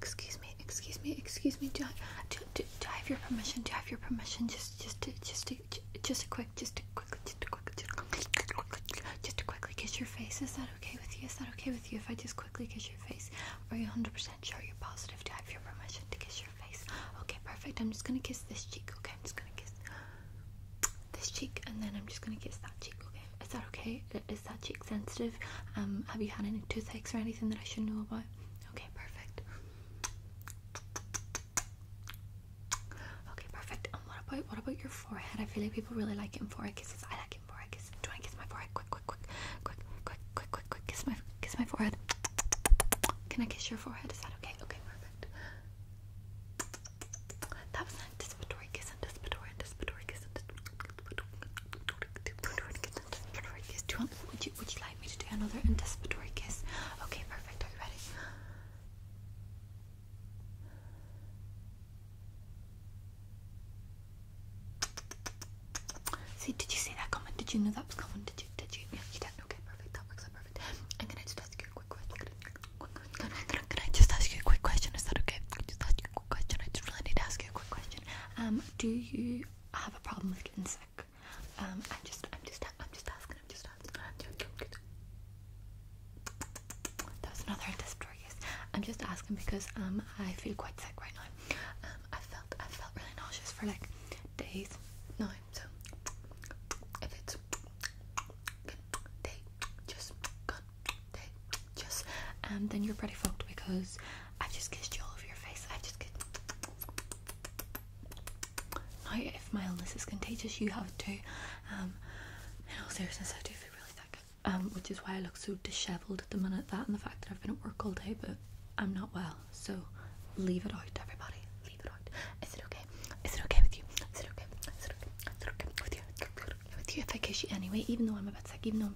Excuse me, excuse me, excuse me. Do I, do, do, do I have your permission? Do I have your permission? Just, just, to, just, to, just a quick, just a quick, just a quick, just, a quick, just to quickly kiss your face. Is that okay with you? Is that okay with you if I just quickly kiss your face? Are you 100% sure you're positive? Do I have your permission to kiss your face? Okay, perfect. I'm just gonna kiss this cheek. Okay, I'm just gonna kiss this cheek, and then I'm just gonna kiss that cheek. Okay, is that okay? that is that cheek sensitive? Um, have you had any toothaches or anything that I should know about? Okay, perfect. Okay, perfect. And what about what about your forehead? I feel like people really like getting forehead kisses. I like getting forehead kisses. Do I kiss my forehead? Quick, quick, quick, quick, quick, quick, quick, quick. Kiss my kiss my forehead. Can I kiss your forehead? Is that okay? Okay, perfect. That was an anticipatory kiss, anticipatory, anticipatory kiss, anticipatory. Do you want? Would you? Would you like me to do another anticipatory kiss? Okay, perfect. Are you ready? See, did you see that comment? Did you know that was coming? Did you? Did you? Yeah, you did. Okay, perfect. That works out perfect. Can I just ask you a quick question? Is that okay? Can I just ask you? question. I just really need to ask you a quick question. Um, do you have a problem with getting sick? Um, I'm just, I'm just, I'm just asking. I'm just asking. That was another yes. I'm just asking because um, I feel quite sick right now. Um, I felt, I felt really nauseous for like days No, So if it's day, just gone just and um, then you're pretty fucked because I've just kissed you all over your face. I've just kissed now if my illness is contagious you have to. too. Um in all seriousness I do feel really sick. Um, which is why I look so dishevelled at the minute that and the fact that I've been at work all day but I'm not well. So leave it out everybody. Leave it out. Is it okay? Is it okay with you? Is it okay? Is it okay? with you? Is with you if I kiss you anyway, even though I'm about bit sick, even though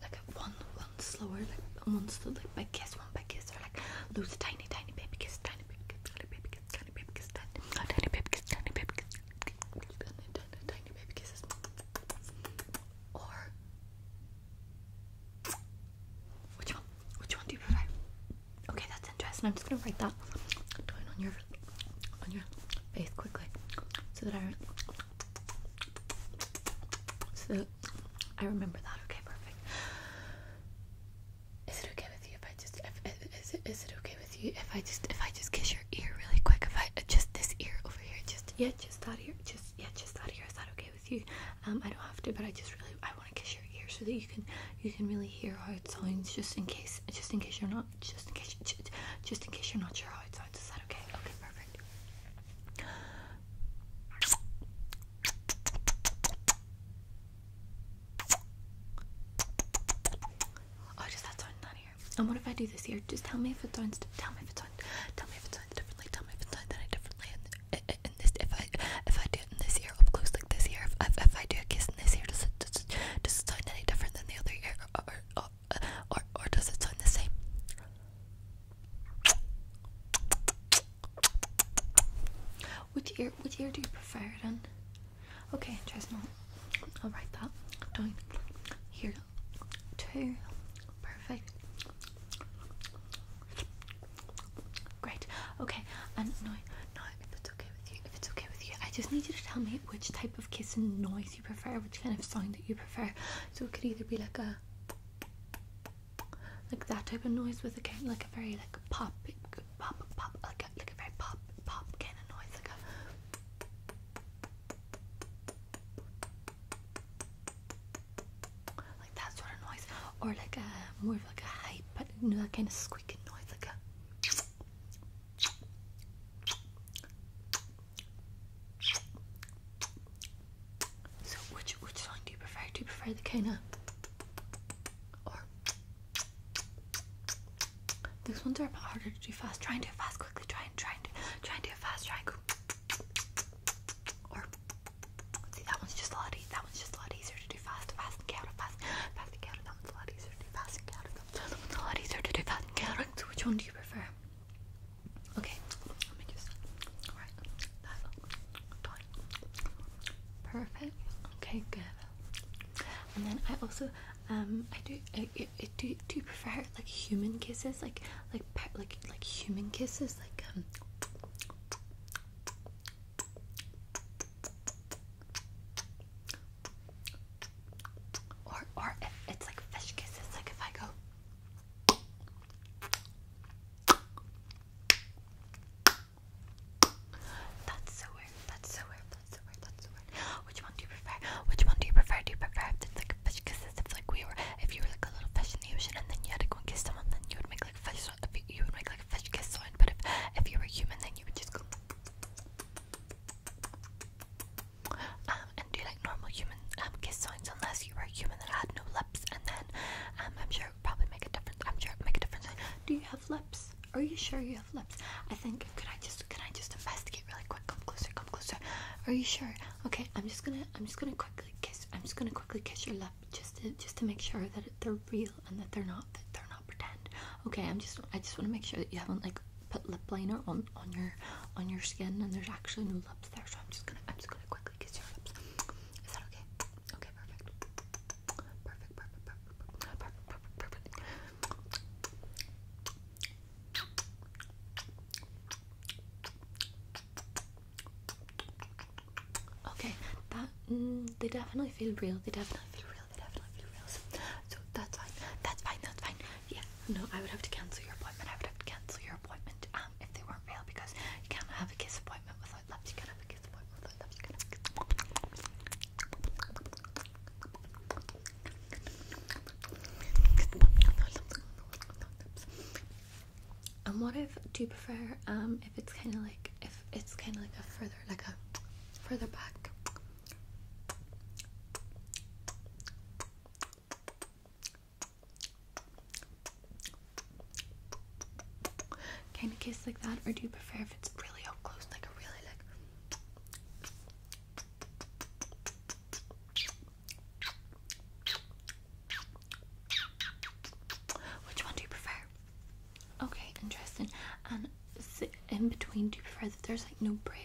like one one slower, like one slow, like by kiss, one by kiss, or like lose a tiny, tiny baby kiss, tiny baby kiss, tiny baby kiss, tiny baby kiss, tiny, baby kiss, tiny baby kiss, tiny, baby kisses, or which one? Which one do you prefer? Okay, that's interesting. I'm just gonna write that down on your on your face quickly so that I so I remember that. Okay, perfect. Is it okay with you if I just if, is it is it okay with you if I just if I just kiss your ear really quick? If I uh, just this ear over here, just yeah, just that ear, just yeah, just that ear. Is that okay with you? Um, I don't have to, but I just really I want to kiss your ear so that you can you can really hear how it sounds. Just in case, just in case you're not, just in case, just in case you're not sure how it sounds. Is that okay? Okay, perfect right. Oh, just that sound down here. And what if I do this here? Just tell me if it sounds. Tell me if it sounds. Tell me if it sounds differently. Tell me if it sounds any differently. And, and, and this, if I if I do it in this ear up close like this ear, if I, if I do a kiss in this ear, does it does it, does it sound any different than the other ear? Or, or, or, or or does it sound the same? Which ear which ear do you prefer then? Okay, interesting. I'll write that down here. Two. Perfect. Great. Okay, and now, if it's okay with you, if it's okay with you, I just need you to tell me which type of kissing noise noise you prefer, which kind of sound that you prefer. So it could either be like a like that type of noise with a kind of like a very like pop pop pop like a like a very pop pop kind of noise like a like that sort of noise, or like a more of like a hype, but you know that kind of squeaking noise, like a so which which song do you prefer? Do you prefer the kind of or these ones are a bit harder to do fast. Try and do it fast quickly. Try and try and do, try and do it fast. Try and go. Or see that one's just a lot. E that one's just a lot easier to do fast. Fast and chaotic. Fast, fast and chaotic. That one's a lot easier to do fast and chaotic. That one's a lot easier to do fast and chaotic. So which one do you prefer? Okay, let me just. Alright, Perfect. Okay, good. And then I also, um, I do, I, do, do prefer like human kisses, like, like, like, like human kisses, like, um. Or, or if it's like fish kisses, like if I go. That's so weird. That's so weird. That's so weird. That's so weird. Which one do you prefer? Which one do you prefer? Do you prefer if it's like a fish kisses? If like we were, if you were like a little fish in the ocean and then you had to go and kiss someone, then you would make like a fish. You would make like a fish kiss But if if you were human, then you would just go. Um, and do like normal human um, kiss signs unless you were human that had no lips and then um, I'm sure it would probably make a difference. I'm sure make a difference. Do you have lips? Are you sure you have lips? I think could I just can I just investigate really quick? Come closer, come closer. Are you sure? Okay, I'm just gonna I'm just gonna quickly kiss I'm just gonna quickly kiss your lip just to just to make sure that they're real and that they're not that they're not pretend. Okay, I'm just I just wanna make sure that you haven't like put lip liner on on your on your skin, and there's actually no lips there. So I'm just gonna I'm just gonna quickly kiss your lips. Is that okay? Okay, perfect. Perfect, perfect, perfect, perfect, perfect, Okay, that mm, they definitely feel real. They definitely feel real. They definitely feel real. so that's fine. That's fine. That's fine yeah, no, I would have to cancel your appointment. I would have to cancel your appointment um, if they weren't real because you can't have a kiss appointment without lips. You can't have a kiss appointment without lips. You can't have a kiss and what if do you prefer um if it's kind of like if it's kind of like a further like a further back Kind of kiss like that, or do you prefer if it's really up close, like a really like? Which one do you prefer? Okay, interesting. And in between, do you prefer that there's like no break?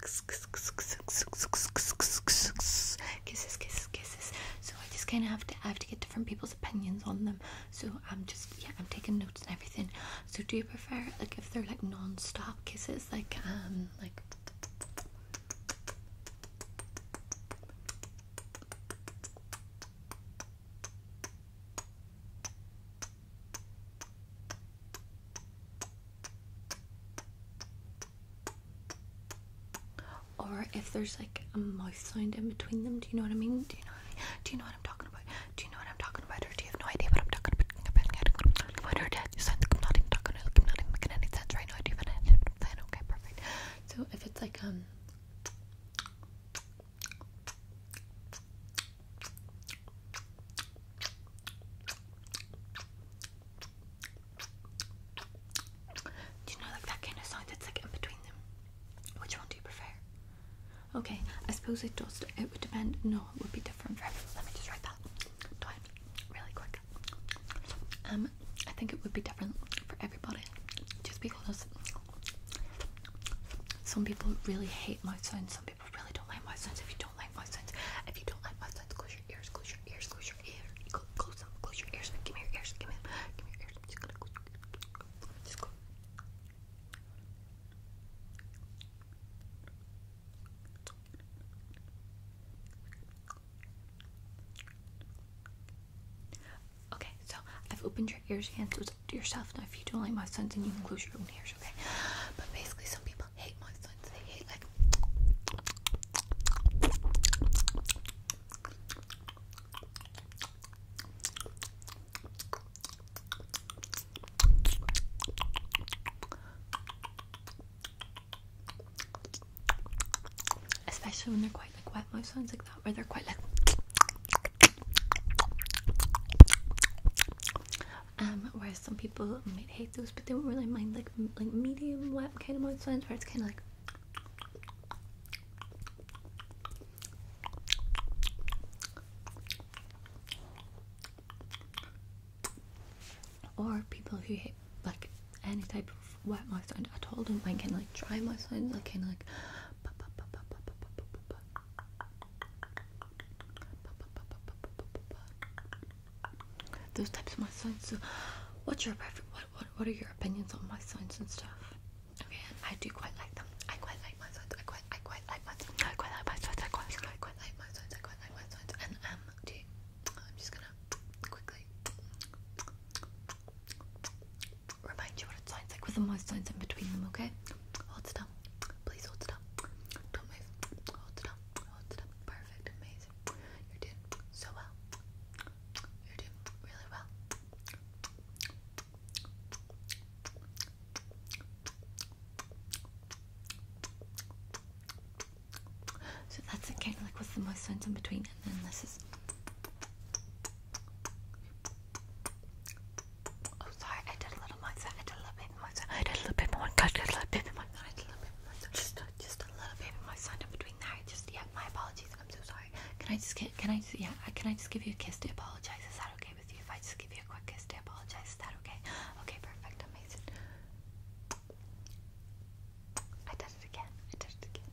kisses, kisses, kisses. So I just kind of have to I have to get different people's opinions on them. So I'm just yeah, I'm taking notes and everything. So do you prefer like if they're like non-stop kisses, like um like or if there's like a mouth sound in between them, do you know what I mean? Do you know what I Do you know what I'm talking about? Do you know what I'm talking about? Or do you have no idea what I'm talking about? do you sound I'm not even talking, I'm not even making any sense right now? Do you have Okay, perfect. So if it's like, um, do you know like that kind of sound that's like in between them? Which one do you prefer? Okay, I suppose it does. It would depend. No, it would be different for everyone. Let me just write that really quick. Um, I think it would be different for everybody, just because some people really hate my sounds. Some people people really don't like my sounds. If you don't like my sounds, if you don't like my sounds, close your ears, close your ears, close your ears, close them, close your ears. Give me your ears, give me, give me your ears. i Okay, so I've opened your ears again. so it's up to yourself. Now, if you don't like my sons, then you can close your own ears, okay? But basically, some people hate my sons. They hate like especially when they're quite like wet my sons like that where they're quite like whereas some people might hate those, but they don't really mind like like medium wet kind of moist ones where it's kind of like or people who hate like any type of wet mouth sound at all don't mind kind of like dry mouth sounds like kind of like those types of my signs. So, what's your preference? What, what are your opinions on my signs and stuff? Okay, I do quite like them. I quite like my signs. I quite I quite like my I quite like my signs. I quite quite like my signs. I quite like my signs. And um, am just gonna quickly remind you what it sounds like with the my signs in between them. Okay, hold it down, Please hold still. Don't move. Hold still. Oh, perfect. Amazing. You're doing so well. You're doing really well. So that's kind of like what's the most sense in between, and then this is. Oh, sorry, I did a little much. I did a little bit more a little bit more, good, just, between there, just, yeah, my apologies, I'm so sorry, can I just get, can I, just, yeah, can I just give you a kiss to apologize, is that okay with you, if I just give you a quick kiss to apologize, is that okay, okay, perfect, amazing, I did it again, I did it again,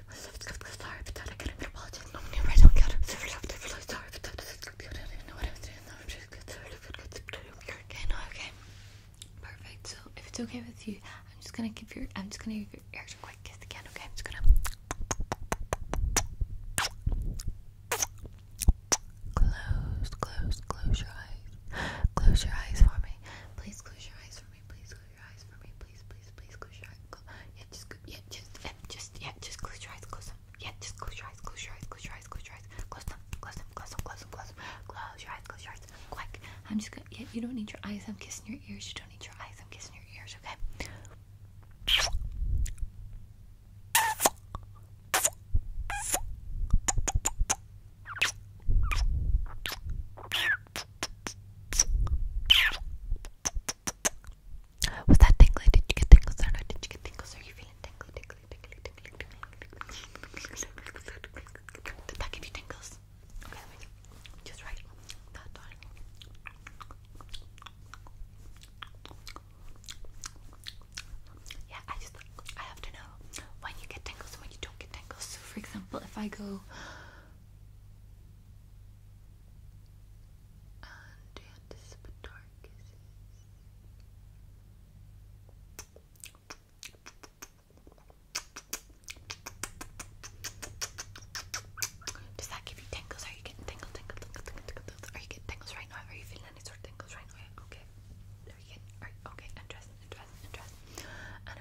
I am just okay. Perfect. So if it's okay with you, I'm just gonna give your I'm just gonna your ears a quick kiss again. Okay, I'm just gonna close, close, close your eyes. Close your eyes for me. Please close your eyes for me. Please your eyes for me, please, please, please close your eyes. Close. Yeah, just, yeah, just, yeah, just, yeah, just close your eyes, close them. Yeah, just close your eyes, close your eyes, close your eyes, close your eyes, close them, close them, close them, close them, close them, close your eyes, close your eyes, quick. I'm just gonna. Yeah, you don't need your eyes. I'm kissing your ears. You don't need your eyes. I'm kissing your ears. Okay. Was that tingly? Did you get tingles Did you get tingles? Are you feeling tingly, tingly, tingly, tingly, tingly? Did that give you tingles? Okay, let me just write that down. Yeah, I just I have to know when you get tingles and when you don't get tingles. So, for example, if I go and Does that give you tingles? Are you getting tingles, tingles, tingles, tingles, tingles? Are you getting tingles right now? Are you feeling any sort of tingles right now? Okay. Are you getting? okay. Interesting, interesting, interesting. And if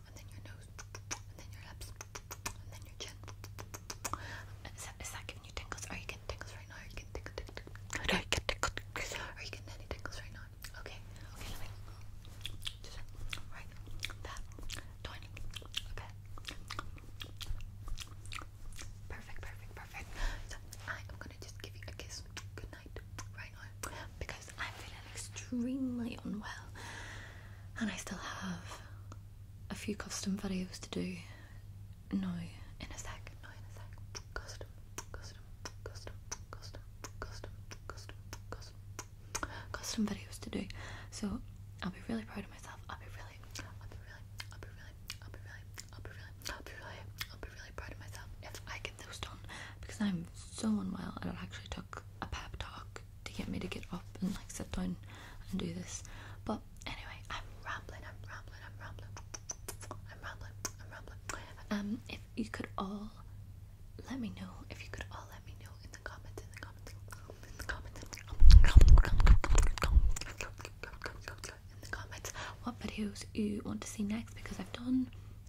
and then your nose, and then your lips, and then your chin. Is that giving you tingles? Are you getting tingles right now? Are you getting tingles? Are you tingles? Are you getting any tingles right now? Okay, okay, let me right that Perfect, perfect, perfect. So I am gonna just give you a kiss good night right now because I'm feeling extremely unwell and I still have a few custom videos to do No, in a sec, now in a sec. Custom, custom, custom, custom, custom, custom, custom, custom videos to do. So I'll be really proud of myself. I'll be really, I'll be really, I'll be really, I'll be really, I'll be really, I'll be really, proud of myself if I get those done because I'm so unwell and it actually took a pep talk to get me to get up and like sit down and do this. But anyway, I'm rambling, I'm rambling, I'm rambling, I'm rambling, I'm rambling. Um, if you could all let me know, if you could all let me know in the comments, in the comments, in the comments, in the comments, what videos you want to see next because I've done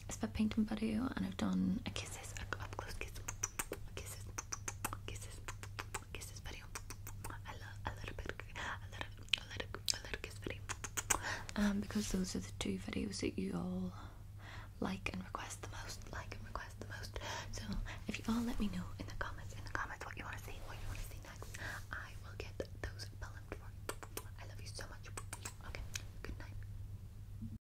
a spit painting video and I've done a kisses, a up close kiss kisses, kisses, kisses video. I love a little bit, a little, a little, a little kiss video. Um, because those are the two videos that you all like and request the most, like and request the most. So if you all let me know in the comments, in the comments what you want to see, what you want to see next, I will get those filmed for you. I love you so much. Okay, good night.